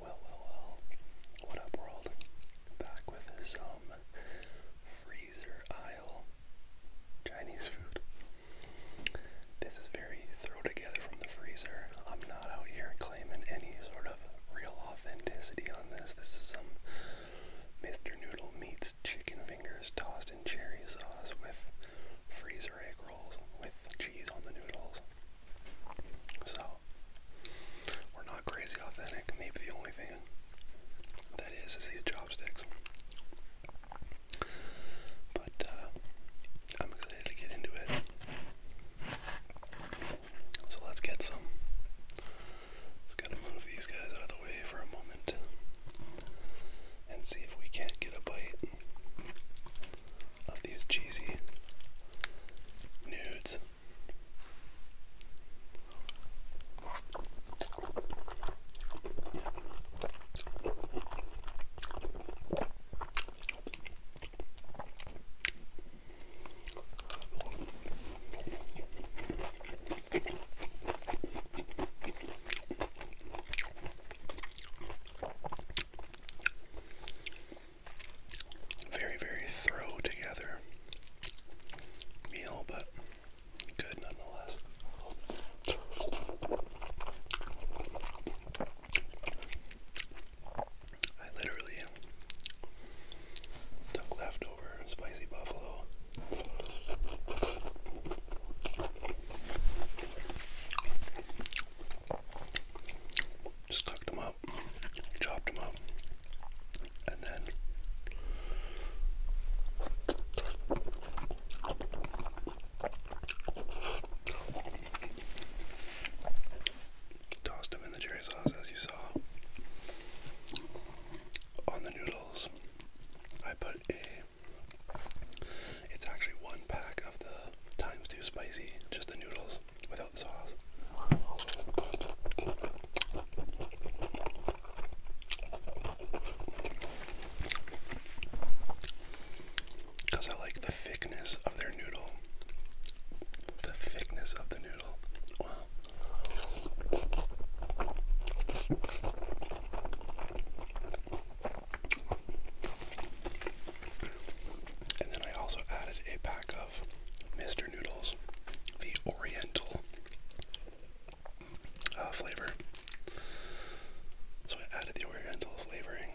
Well, well, well. What up, world? Back with some freezer aisle Chinese food. This is very throw together from the freezer. I'm not out here claiming any sort of real authenticity on this. This is some Mr. Noodle meets chicken fingers tossed in cherry sauce with freezer egg rolls with cheese on the noodles. So, we're not crazy authentic. Maybe the only thing that is is these chopsticks. But uh, I'm excited to get into it. So let's get some. Just gotta move these guys out of the way for a moment and see if we can't get a bite of these cheesy nudes. Very, very throw together meal, but good nonetheless. I literally took leftover spicy buffalo. Just cooked them up, chopped them up, and then tossed them in the cherry sauce as you saw. On the noodles, I put a it's actually one pack of the times two spicy, just the noodles without the sauce. Because I like the thickness of their noodle. The thickness of the noodle. And then I also added a pack of Mr. Noodles, the Oriental uh, flavor. So I added the Oriental flavoring.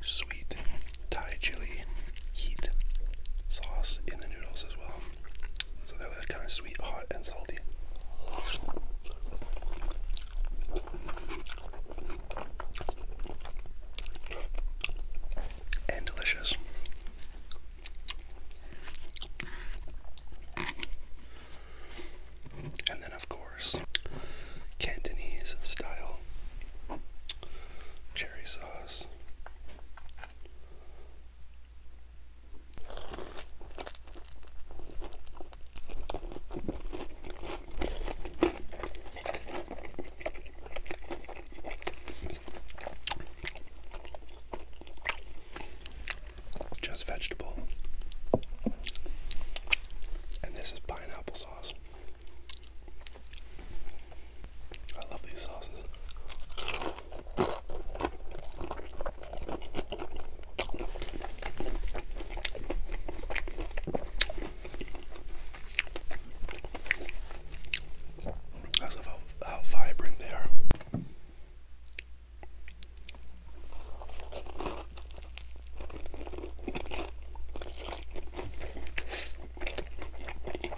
Sweet Thai chili heat sauce in the noodles as well. So they're that kind of sweet, hot, and salty. And delicious. And then, of course, Cantonese style cherry sauce just vegetable. And this is pineapple sauce. I love these sauces. That's about how vibrant they are.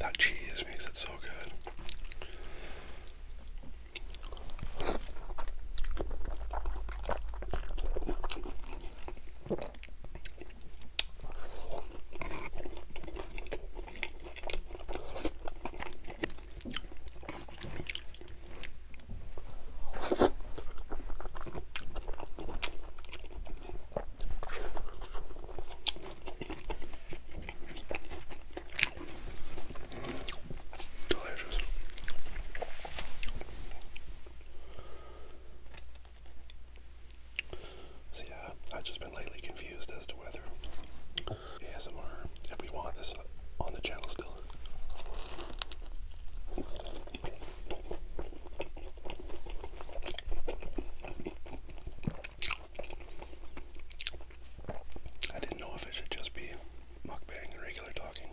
That cheese makes it so good. Delicious. So yeah, I've just been lately confused as to whether ASMR, if we want this on the channel still. I didn't know if it should just be mukbang and regular talking.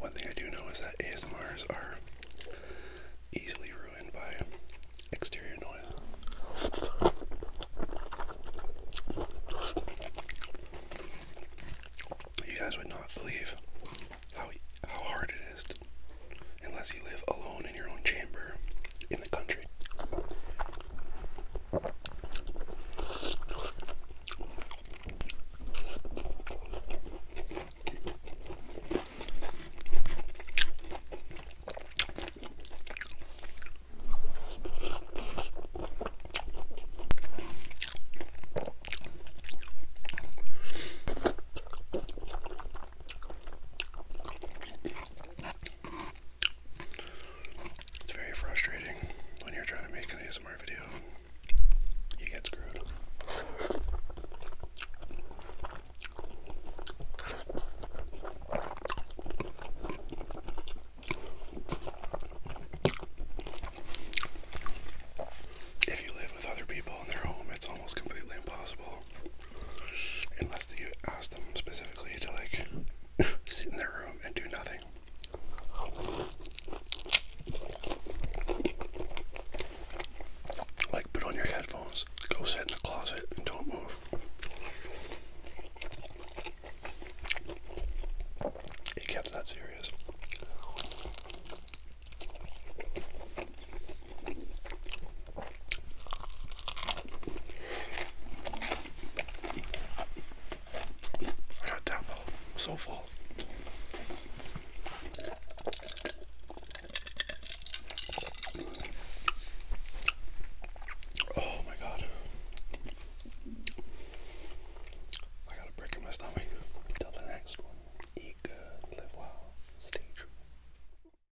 One thing I do know is that ASMRs are easily ruined by exterior noise. You guys would not believe how how hard it is to, unless you live alone in your own chamber here in the country. It's very frustrating when you're trying to make an ASMR video. You get screwed. If you live with other people in their home, it's almost completely impossible Unless you ask them specifically to like sit in their room and do nothing. Like, put on your headphones, go sit in the closet, and don't move. It gets that serious. I got tapo. So full. Oh my god. I got a brick in my stomach. Till the next one. Eat good, live well, stay true.